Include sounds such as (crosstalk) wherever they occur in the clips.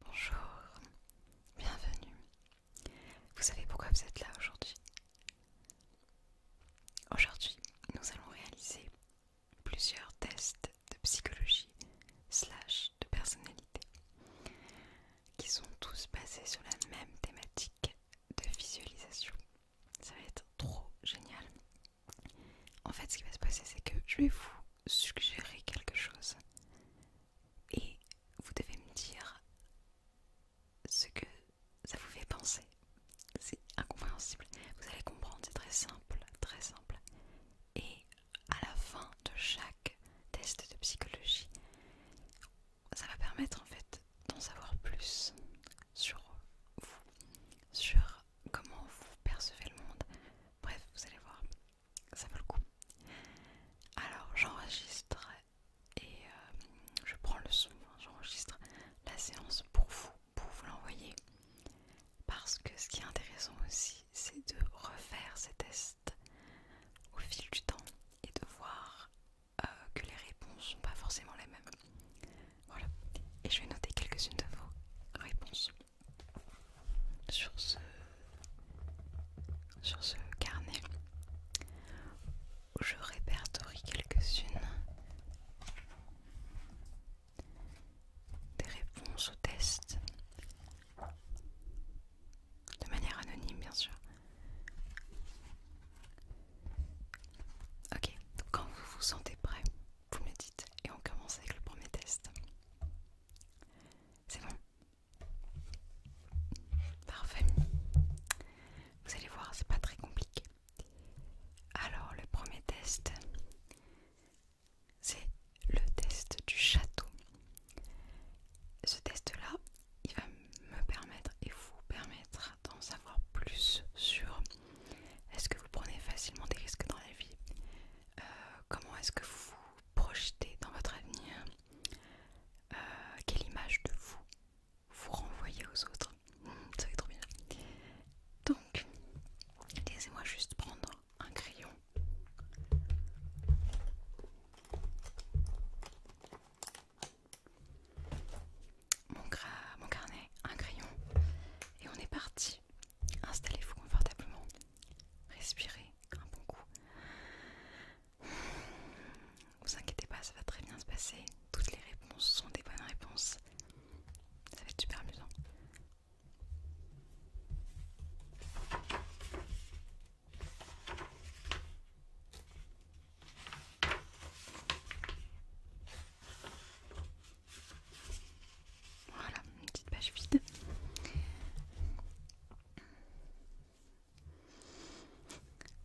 Bonjour, bienvenue. Vous savez pourquoi vous êtes là aujourd'hui Aujourd'hui, nous allons réaliser plusieurs tests de psychologie slash de personnalité qui sont tous basés sur la même thématique de visualisation. Ça va être trop génial. En fait, ce qui va se passer, c'est que je vais vous suggérer quelque chose et vous devez me dire ce que ça vous fait penser. C'est incompréhensible. Vous allez comprendre, c'est très simple, très simple. Et à la fin de chaque test de psychologie, ça va permettre en fait d'en savoir plus sur vous, sur comment vous percevez le monde. Bref, vous allez voir, ça vaut le coup. Alors, j'enregistre et euh, je prends le son, hein, j'enregistre la séance pour vous, pour vous l'envoyer. Parce que ce qui est intéressant aussi, c'est de refaire ces tests au fil du temps et de voir euh, que les réponses ne sont pas forcément les mêmes. Voilà. Et je vais noter quelques-unes de vos réponses sur ce, sur ce carnet où je répertorie quelques-unes des réponses aux tests de manière anonyme bien sûr. Ok, quand vous vous sentez prêt, vous me dites et on commence avec le premier test. C'est bon Parfait. Vous allez voir, c'est pas très compliqué. Alors, le premier test, c'est le test du château. Ce test-là, il va me permettre et vous permettre d'en savoir plus sur est-ce que vous prenez facilement des risques dans la vie euh, Comment est-ce que vous vous projetez dans votre avenir euh, Quelle image de vous vous renvoyez aux autres (laughs) Ça va trop bien. Donc, laissez-moi juste prendre un crayon. mon carnet, un crayon, et on est parti. Installez-vous confortablement. Respirez un bon coup. Vous inquiétez pas, ça va très bien se passer. Toutes les réponses sont des bonnes réponses. Ça va être super amusant. Voilà, une petite page vide.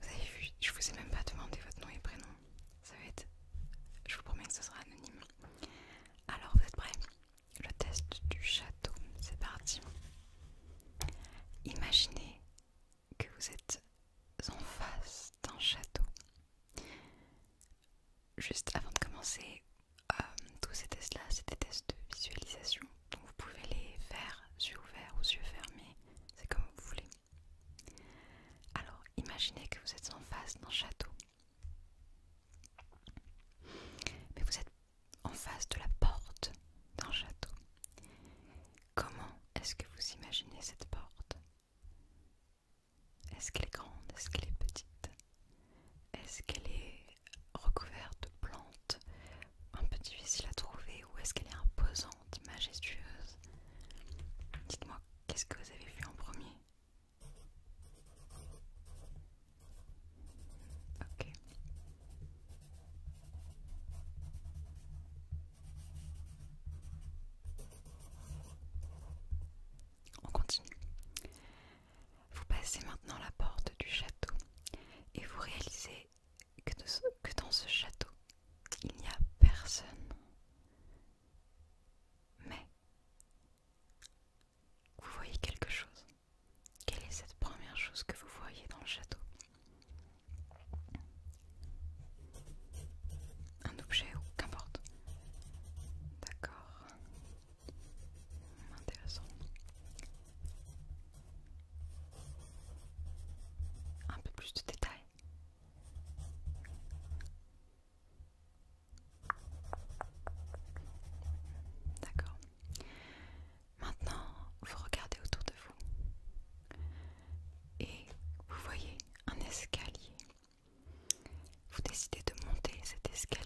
Vous avez vu, je vous ai même pas demandé votre nom et prénom. Ça va être. Je vous promets que ce sera anonyme. Alors, vous êtes prêts Le test du château, c'est parti. Imaginez que vous êtes en face d'un château. Juste avant de commencer, euh, tous ces tests-là, c'est des tests de visualisation. vous pouvez les faire yeux ouverts ou yeux fermés, c'est comme vous voulez. Alors, imaginez que vous êtes en face d'un château. Mais vous êtes en face de la porte d'un château. Comment est-ce que vous imaginez cette porte est-ce qu'elle est grande Est-ce qu'elle est petite Est-ce qu'elle est recouverte de plantes un peu difficile à trouver ou est-ce qu'elle est imposante, majestueuse Dites-moi, qu'est-ce que vous avez vu en premier Ok. On continue. Vous passez maintenant la porte du château et vous réalisez que, dans ce château, il n'y a personne. Mais vous voyez quelque chose. Quelle est cette première chose que vous voyez dans le château Un objet ou qu'importe. D'accord. Intéressant. Un peu plus de détails. D'accord. Maintenant, vous regardez autour de vous et vous voyez un escalier vous décidez de monter cet escalier.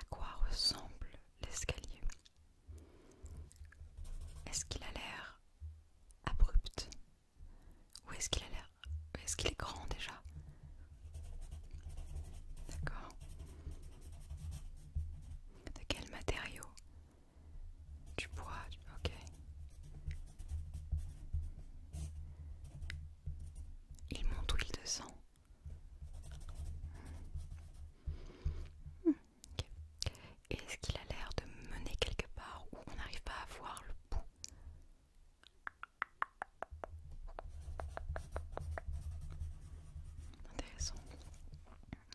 À quoi ressemble l'escalier Est-ce qu'il a l'air abrupt Ou est-ce qu'il a l'air... Est-ce qu'il est grand déjà D'accord. De quel matériau Du bois, ok. Il monte ou il descend Et hmm. Est-ce qu'il a l'air de mener quelque part où on n'arrive pas à voir le bout Intéressant.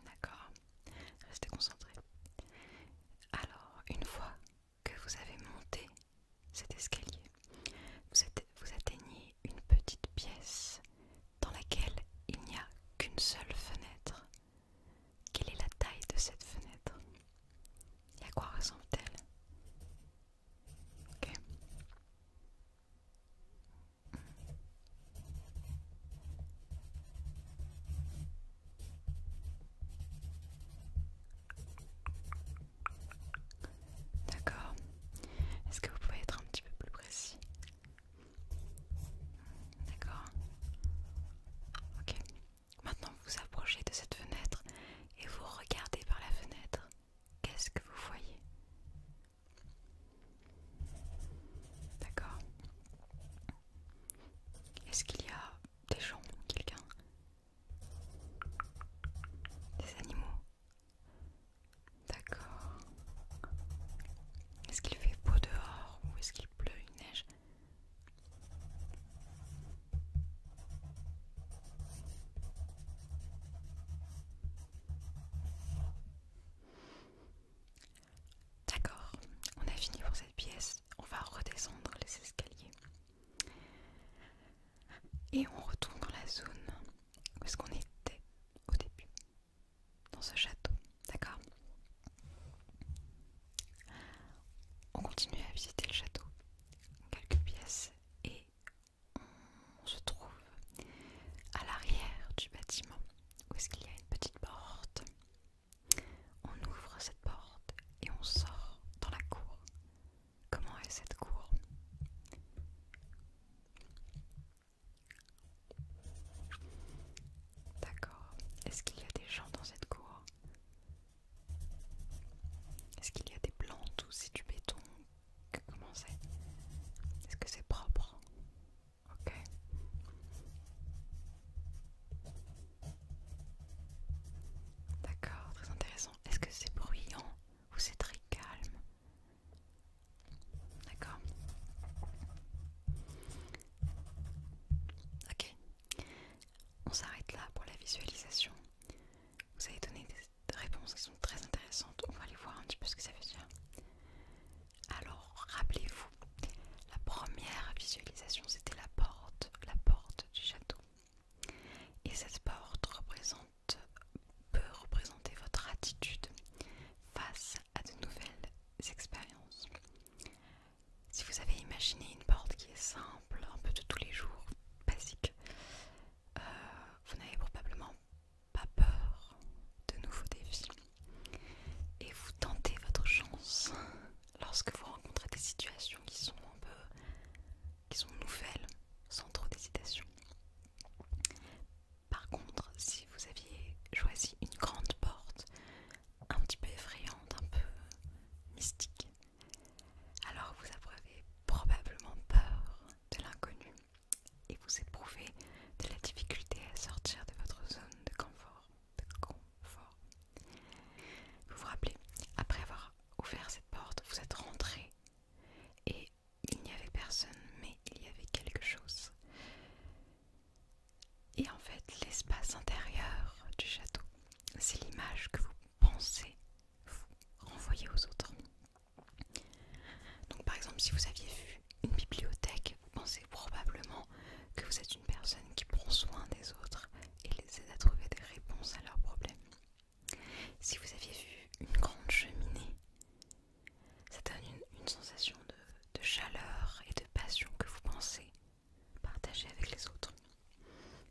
D'accord. Restez concentré Alors, une fois que vous avez monté cet escalier, vous, atteignez une petite pièce dans laquelle il n'y a qu'une seule fenêtre. Quelle est la taille de cette fenêtre Et à quoi ressemble-t-elle Ok. D'accord. Est-ce que vous pouvez être un petit peu plus précis D'accord. Ok. Maintenant, vous vous approchez de cette fenêtre et vous regardez par la fenêtre. Qu'est-ce que vous voyez D'accord. Est-ce qu'il y a des gens, quelqu'un des animaux. D'accord. Est-ce qu'il fait beau dehors ou est-ce qu'il pleut, une neige D'accord, on a fini pour cette pièce. On va redescendre les escaliers. Et on retourne dans la zone où est-ce qu'on était au début, dans ce château, d'accord On continue à visiter le château, quelques pièces, et on se trouve à l'arrière du bâtiment où est-ce qu'il y a une petite porte. On ouvre cette porte et on sort dans la cour Comment est cette cour D'accord. Est-ce qu'il y a des gens dans cette cour Est-ce qu'il y a des plantes ou c'est du béton Comment c'est Est-ce que c'est propre Ok. D'accord, très intéressant. Est-ce que c'est bruyant ou c'est très calme D'accord. Ok. On s'arrête là pour la visualisation. Vous avez donné des réponses qui sont très intéressantes. On va aller voir un petit peu ce que ça veut dire. Alors, rappelez-vous, la première visualisation, c'était la porte, la porte du château. Et cette porte représente, peut représenter votre attitude face à de nouvelles expériences. Si vous avez imaginé une porte qui est simple, un peu de tous les jours, basique, euh, vous n'avez probablement pas peur de nouveaux défis. Et vous tentez votre chance lorsque vous rencontrez des situations qui sont un peu qui sont nouvelles, sans trop d'hésitation. Par contre, si vous aviez choisi une grande porte, un petit peu effrayante, un peu mystique, alors vous avez probablement peur de l'inconnu et vous éprouvez de la difficulté à sortir de votre zone de confort. De confort. Vous vous rappelez, après avoir ouvert cette porte, vous êtes rentré et il n'y avait personne, mais il y avait quelque chose. Et en fait, l'espace intérieur du château, c'est l'image que vous pensez vous renvoyer aux autres. Donc par exemple, si vous aviez vu une bibliothèque, vous pensez probablement que vous êtes une personne qui prend soin des autres et les aide à trouver des réponses à leurs problèmes. Si vous aviez vu une grande cheminée, ça donne une, sensation de, de chaleur et de passion que vous pensez partager avec les autres.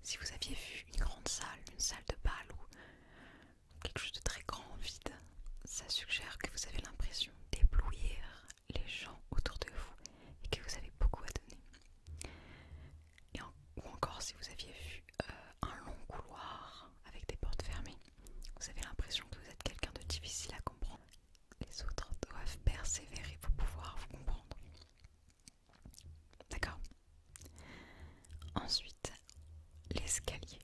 Si vous aviez vu une grande salle, une salle de bal ou quelque chose de très grand, vide, ça suggère que vous avez l'impression d'éblouir les gens autour de vous et que vous avez beaucoup à donner ou encore si vous aviez vu euh, un long couloir avec des portes fermées, vous avez l'impression que vous êtes quelqu'un de difficile à comprendre. Les autres doivent persévérer pour pouvoir vous comprendre. D'accord Ensuite, l'escalier.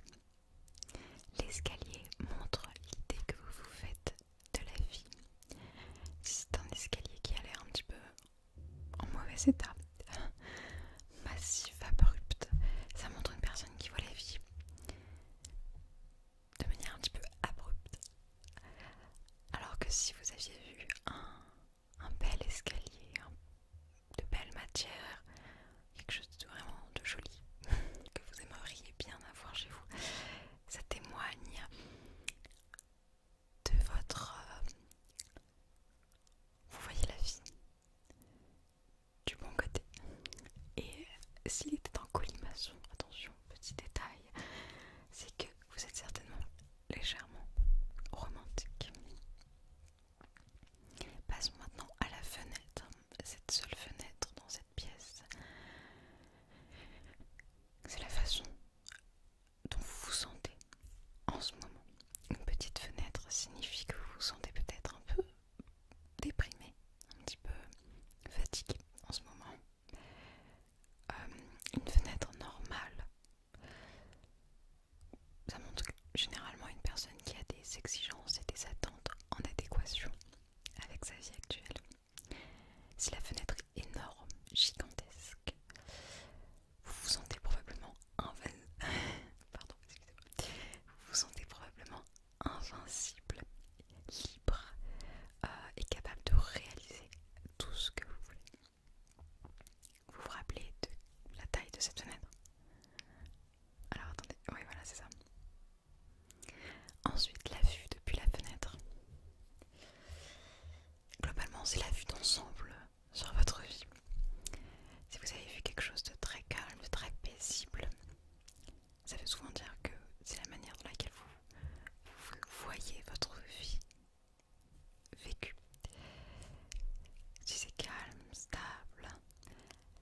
L'escalier montre l'idée que vous vous faites de la vie. C'est un escalier qui a l'air un petit peu en mauvais état, (laughs) massif, abrupt. Ça montre une personne qui voit la vie de manière un petit peu abrupte. Alors que si vous aviez vu un, bel escalier, de belles matières, quelque chose de vraiment de joli (laughs) que vous aimeriez bien avoir chez vous, ça témoigne de votre... Euh, vous voyez la vie du bon côté. Et s'il était en colimaçon, attention, petit détail, c'est que vous êtes certainement légèrement romantique. Passons maintenant à la fenêtre, cette seule fenêtre dans cette pièce. C'est la façon dont vous vous sentez en ce moment. Une petite fenêtre signifie que vous vous sentez peut-être un peu déprimé, un petit peu fatigué en ce moment. Euh, une fenêtre normale, ça montre généralement une personne qui a des exigences et des attentes en adéquation avec sa vie actuelle. Si la fenêtre est énorme, gigantesque, (laughs) vous vous sentez probablement invincible. Vous sentez probablement invincible, libre euh, et capable de réaliser tout ce que vous voulez. Vous vous rappelez de la taille de cette fenêtre Alors attendez, oui voilà c'est ça. Ensuite la vue depuis la fenêtre. Globalement c'est la vue d'ensemble sur votre vie. Si vous avez vu quelque chose de très calme, de très paisible, ça veut souvent dire que c'est la manière dans laquelle vous, voyez votre vie vécue. Si c'est calme, stable,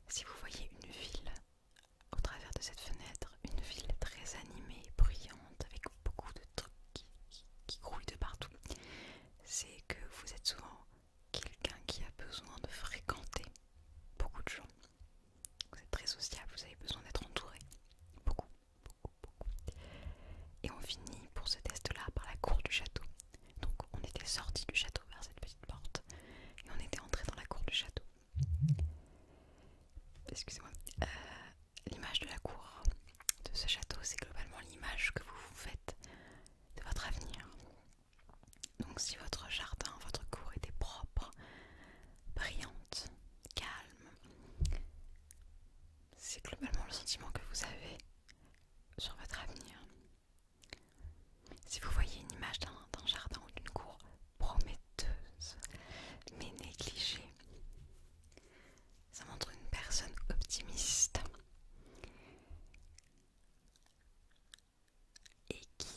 si vous voyez une ville au travers de cette fenêtre, une ville très animée, brillante, avec beaucoup de trucs qui, qui grouillent de partout, c'est que vous êtes souvent quelqu'un qui a besoin de fréquenter beaucoup de gens. Vous êtes très sociable, vous avez besoin d'être entouré. Beaucoup, beaucoup, beaucoup. Et on finit pour ce test-là par la cour du château. Donc on était sorti du château vers cette petite porte et on était entré dans la cour du château. Excusez-moi. Euh, l'image de la cour de ce château, c'est globalement l'image que vous vous faites de votre avenir. Donc si votre jardin, votre cour était propre, brillante, calme, c'est globalement le sentiment que vous avez sur votre avenir. Si vous voyez une image d'un jardin ou d'une cour prometteuse mais négligée, ça montre une personne optimiste et qui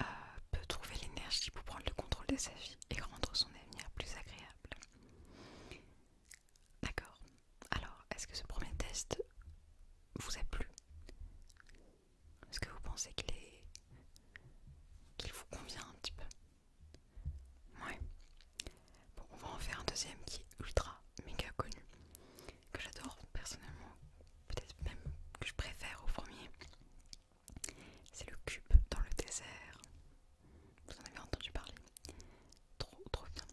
euh, peut trouver l'énergie pour prendre le contrôle de sa vie et rendre son avenir plus agréable. D'accord. Alors, est-ce que ce premier test vous a plu Est-ce que vous pensez qu'il est... qu'il vous convient un petit peu Ouais. Bon, on va en faire un deuxième qui est ultra méga connu, que j'adore personnellement, peut-être même que je préfère au premier. C'est le cube dans le désert. Vous en avez entendu parler Trop, trop bien.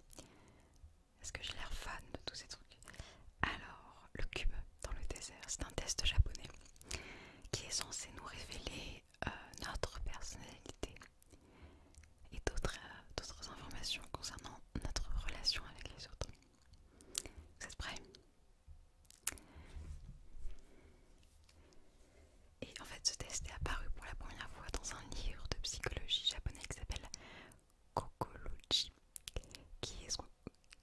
Est-ce que j'ai l'air fan de tous ces trucs Alors, le cube dans le désert, c'est un test japonais qui est censé nous révéler euh, notre personnalité et euh, d'autres informations concernant notre relation avec les autres. Vous êtes Et en fait, ce test est apparu pour la première fois dans un livre de psychologie japonais qui s'appelle Kokoroji qui est ce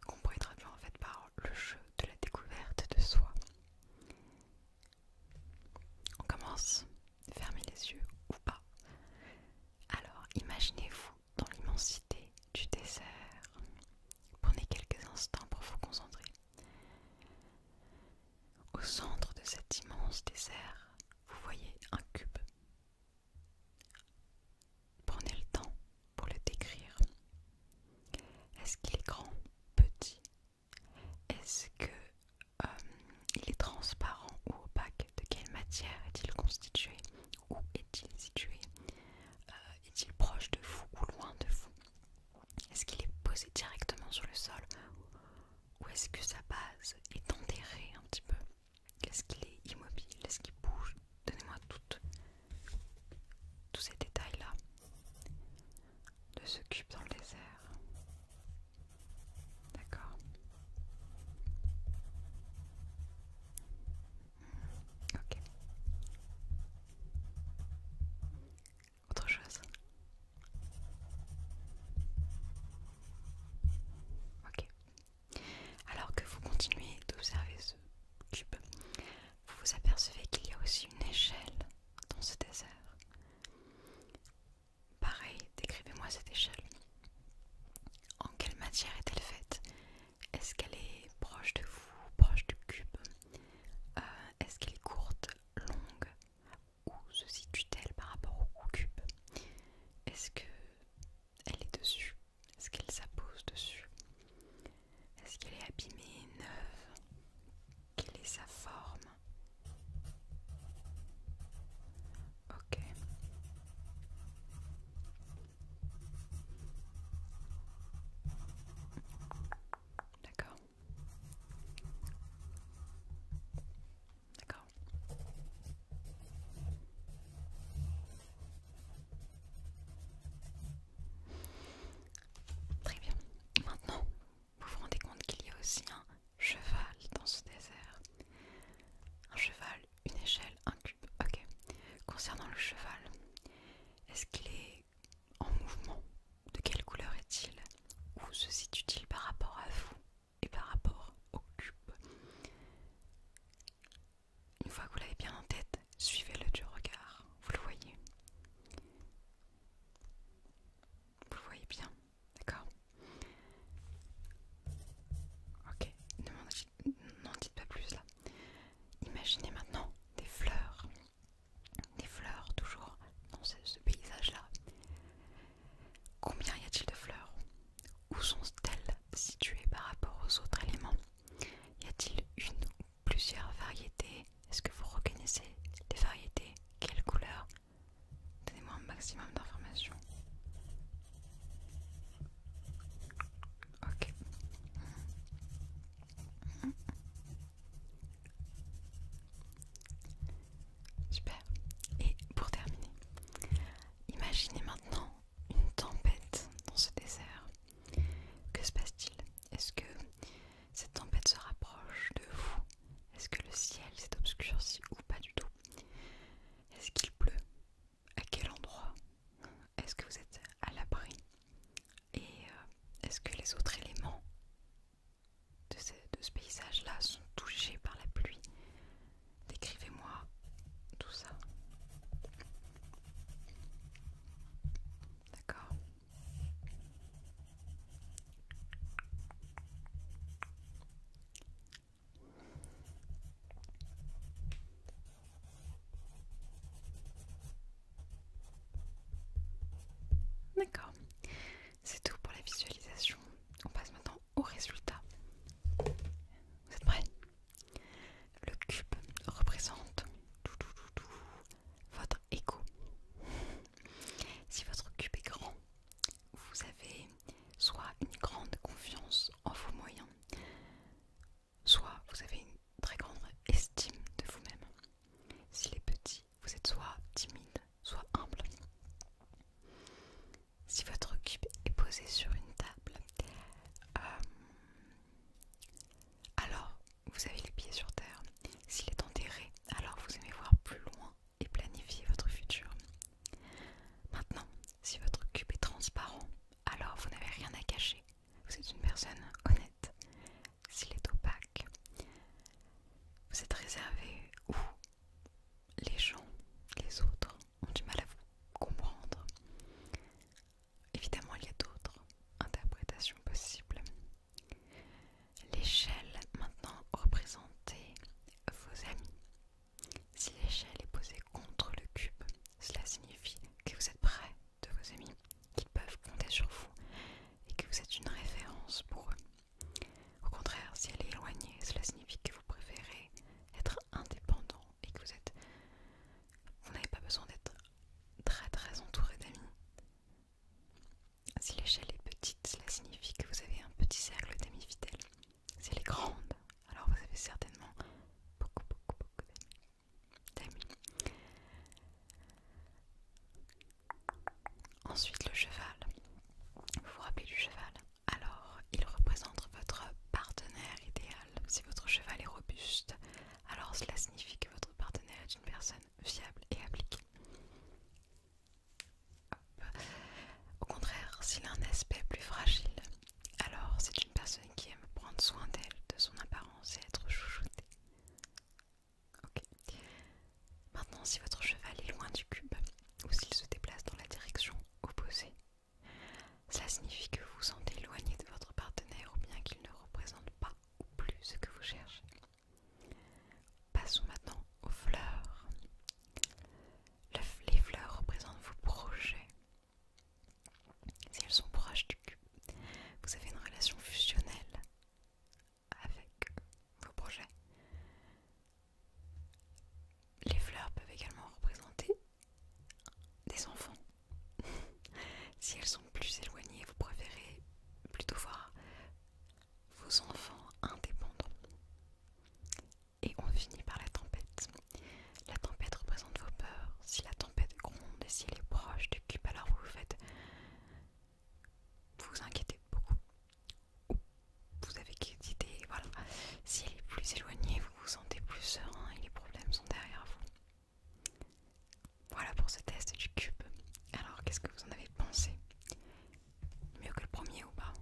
qu'on pourrait traduire en fait par le jeu de la découverte de soi. On commence fermez les yeux ou pas. Alors imaginez-vous dans l'immensité du désert. Prenez quelques instants pour vous concentrer. Au centre de cet immense désert, vous voyez un cube. Prenez le temps pour le décrire. Est-ce qu'il est grand, petit Est-ce que euh, il est transparent ou opaque, de quelle matière est-il constitué, où est-il situé, euh, est-il proche de vous ou loin de vous, est-ce qu'il est posé directement sur le sol ou est-ce que sa base est enterrée un petit peu, est-ce qu'il est immobile, est-ce qu'il bouge, donnez-moi tous ces détails-là de ce cube dans le désert. D'accord. Ok. Autre chose. Ok. Alors que vous continuez d'observer ce cube, vous vous apercevez qu'il y a aussi une échelle dans ce désert. Pareil, décrivez-moi cette échelle. En quelle matière est-elle faite Est-ce qu'elle est proche de vous, proche du cube euh, Est-ce qu'elle est courte, longue Où se situe-t-elle par rapport au cube Est-ce qu'elle est dessus Est-ce qu'elle s'appose dessus Est-ce qu'elle est abîmée, neuve Quelle est sa forme Ok. D'accord. D'accord. Très bien. Maintenant, vous vous rendez compte qu'il y a aussi un cheval dans ce désert. Un cheval, une échelle, un cube. Ok. Concernant le cheval, est-ce qu'il est en mouvement De quelle couleur est-il Où se situe-t-il par rapport à vous et par rapport au cube Une fois que vous l'avez bien en tête, suivez-le du regard. Vous le voyez vous le voyez bien, d'accord Ok, n'en dites pas plus là. Imaginez maintenant des fleurs, des fleurs toujours dans ce, paysage-là. Combien y a-t-il de fleurs Où sont-elles situées par rapport aux autres éléments Y a-t-il une ou plusieurs variétés Est-ce que vous reconnaissez les variétés Quelles couleur Donnez-moi un maximum d'informations. Ok. Super. Et pour terminer, imaginez maintenant une tempête dans ce désert. Que se passe-t-il Est-ce que cette tempête se rapproche de vous est-ce que le ciel s'est obscurci ou pas du tout Est-ce qu'il pleut À quel endroit Est-ce que vous êtes à l'abri Et euh, est-ce que les autres éléments de ce paysage-là sont touchés par la pluie Décrivez-moi tout ça. D'accord D'accord, c'est tout pour la visualisation. On passe maintenant au résultat. Vous êtes prêts Le cube représente votre écho. Si votre cube est grand, vous avez soit une grande confiance en vos moyens, soit vous avez une très grande estime de vous-même. S'il est petit, vous êtes soit timide, soit humble. Si votre cube est posé sur une table, euh, alors vous avez les pieds sur terre. S'il est enterré, alors vous aimez voir plus loin et planifier votre futur. Maintenant, si votre cube est transparent, alors vous n'avez rien à cacher. Vous êtes une personne honnête. S'il est opaque, vous êtes réservé ou les gens, les autres ont du mal à vous comprendre. Évidemment, il y a d'autres interprétations possibles. L'échelle maintenant représentez vos amis, si l'échelle est posée contre le cube, cela signifie que vous êtes près de vos amis, qu'ils peuvent compter sur vous et que vous êtes une référence pour eux. Au contraire, si elle est éloignée, cela signifie que vous préférez être indépendant et que vous êtes n'avez pas besoin d'être très très entouré d'amis. Si l'échelle est petite, cela signifie que vous avez un petit cercle d'amis fidèles c'est les grandes. Alors vous avez certainement beaucoup, beaucoup, beaucoup d'amis. Ensuite, le cheval. Vous vous rappelez du cheval Alors, il représente votre partenaire idéal. Si votre cheval est robuste, alors cela signifie que votre partenaire est une personne fiable et appliquée. Au contraire, s'il a un aspect plus fragile, alors c'est une personne qui aime prendre soin d'elle, de son apparence et être chouchoutée. Maintenant, si votre cheval est loin du cube ou s'il se déplace dans la direction opposée, cela signifie que vous vous sentez éloigné de votre partenaire ou bien qu'il ne représente pas ou plus ce que vous cherchez. Passons maintenant aux fleurs les fleurs représentent vos projets. Si elles sont proches du cul, vous avez une relation fusionnelle avec vos projets. Les fleurs peuvent également représenter des enfants. (laughs) si elles sont plus éloignées, vous préférez plutôt voir vos enfants indépendants. Et on finit par la tempête. La tempête représente vos peurs. Si la tempête gronde et si elle est proche du cube, alors vous vous faites. Vous inquiétez beaucoup. Ou vous avez idée, voilà. Si elle est plus éloignée, vous vous sentez plus serein et les problèmes sont derrière vous. Voilà pour ce test du cube. Alors, qu'est-ce que vous en avez pensé Mieux que le premier ou pas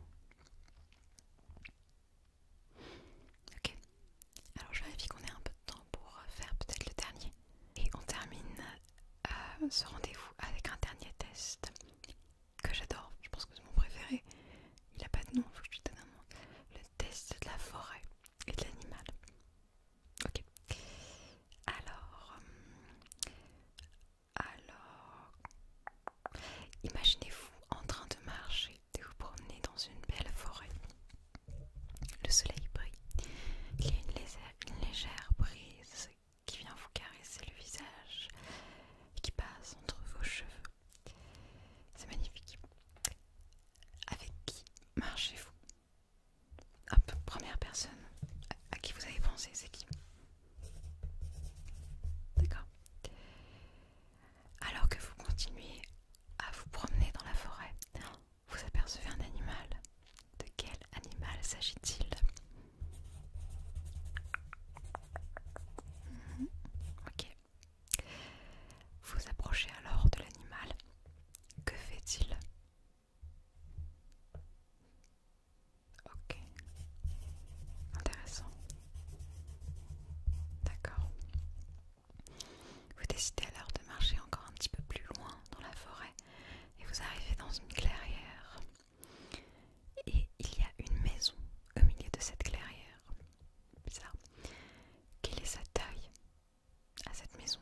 Ok, alors je vérifie qu'on ait un peu de temps pour faire peut-être le dernier. Et on termine euh, ce rendez-vous avec un dernier test que j'adore, je pense que c'est mon préféré. Il n'a pas de nom, il faut que je lui donne un nom. Le test de la forêt et de l'animal. Ok. Alors, euh, alors, imaginez-vous en train de marcher, de vous promener dans une belle forêt. Le soleil brille. Il y a une légère, brise qui vient vous caresser le visage et qui passe entre vos cheveux. C'est magnifique. Avec qui marchez-vous Hop, première personne à qui vous avez pensé, c'est qui D'accord Alors que vous continuez à vous promener dans la forêt, vous apercevez un animal. De quel animal s'agit-il mhm. Ok. Vous approchez alors de l'animal. Que fait-il Ok. Intéressant. D'accord. Vous décidez alors de marcher encore un petit peu plus loin dans la forêt et vous arrivez dans une clairière. Et il y a une maison au milieu de cette clairière. Bizarre. Quelle est sa taille à cette maison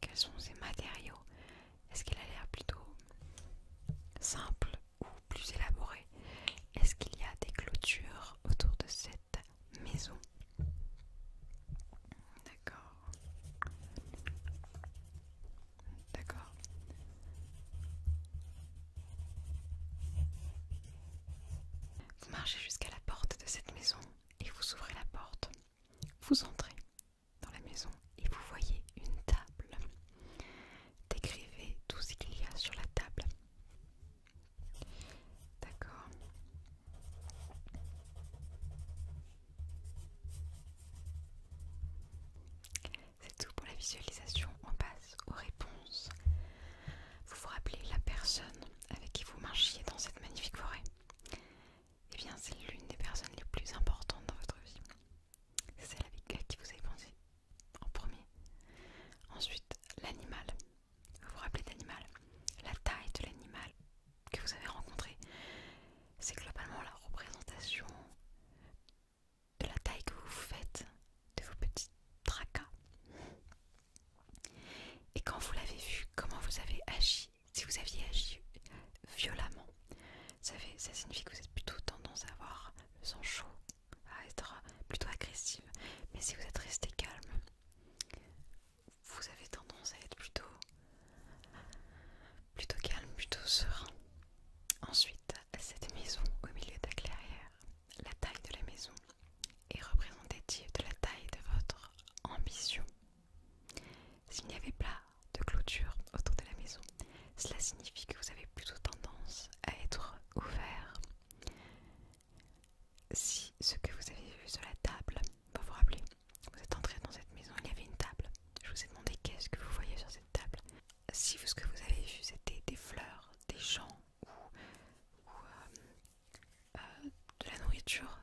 Quels sont ses matériaux Est-ce qu'il a l'air plutôt simple ou plus élaboré, Est-ce qu'il y a des clôtures autour de cette maison D'accord. D'accord. Vous marchez jusqu'à la porte de cette maison et vous ouvrez la porte. Vous entrez dans la maison et vous voyez une table décrivez tout ce qu'il y a sur la table. D'accord C'est tout pour la visualisation. On passe aux réponses. Vous vous rappelez la personne avec qui vous marchiez dans cette magnifique forêt Eh bien, c'est l'une des personnes les plus importantes dans votre vie. C'est celle avec qui vous avez pensé en premier. Ensuite, l'animal. Vous vous rappelez l'animal La taille de l'animal que vous avez rencontré. C'est globalement la représentation de la taille que vous faites de vos petits tracas. Et quand vous l'avez vu, comment vous avez agi Si vous aviez agi violemment, ça, ça signifie que vous êtes plutôt tendance à avoir le sang chaud à plutôt agressive. Mais si vous êtes resté calme, vous avez tendance à être plutôt plutôt calme, plutôt serein. Ensuite, cette maison au milieu de la clairière, la taille de la maison est représentative de la taille de votre ambition. S'il n'y avait pas de clôture autour de la maison, cela signifie que vous avez plutôt tendance à être ouvert. Si ce que vous avez vu sur la table va vous rappeler, vous êtes entré dans cette maison, il y avait une table. Je vous ai demandé qu'est-ce que vous voyez sur cette table. Si ce que vous avez vu c'était des fleurs, des gens ou, euh, euh, de la nourriture,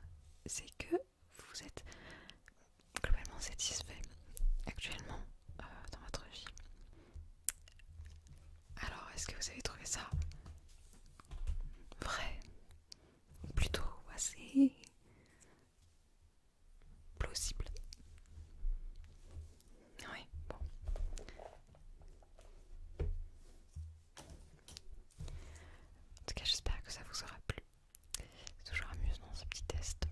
c'est que vous êtes globalement satisfait actuellement euh, dans votre vie. Alors, est-ce que vous avez trouvé ça vrai ou plutôt assez plausible Oui, bon. En tout cas, j'espère que ça vous aura plu. C'est toujours amusant ce petit test.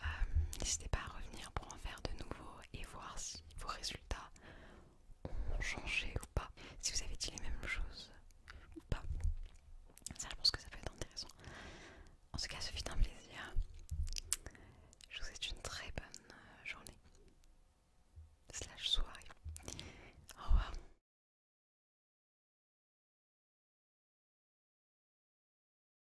Euh, n'hésitez pas à revenir pour en faire de nouveau et voir si vos résultats ont changé ou pas. Si vous avez dit les mêmes choses ou pas. Ça, je pense que ça peut être intéressant. En tout cas, ce fut un plaisir. Je vous souhaite une très bonne euh, journée. Slash soirée. Au revoir.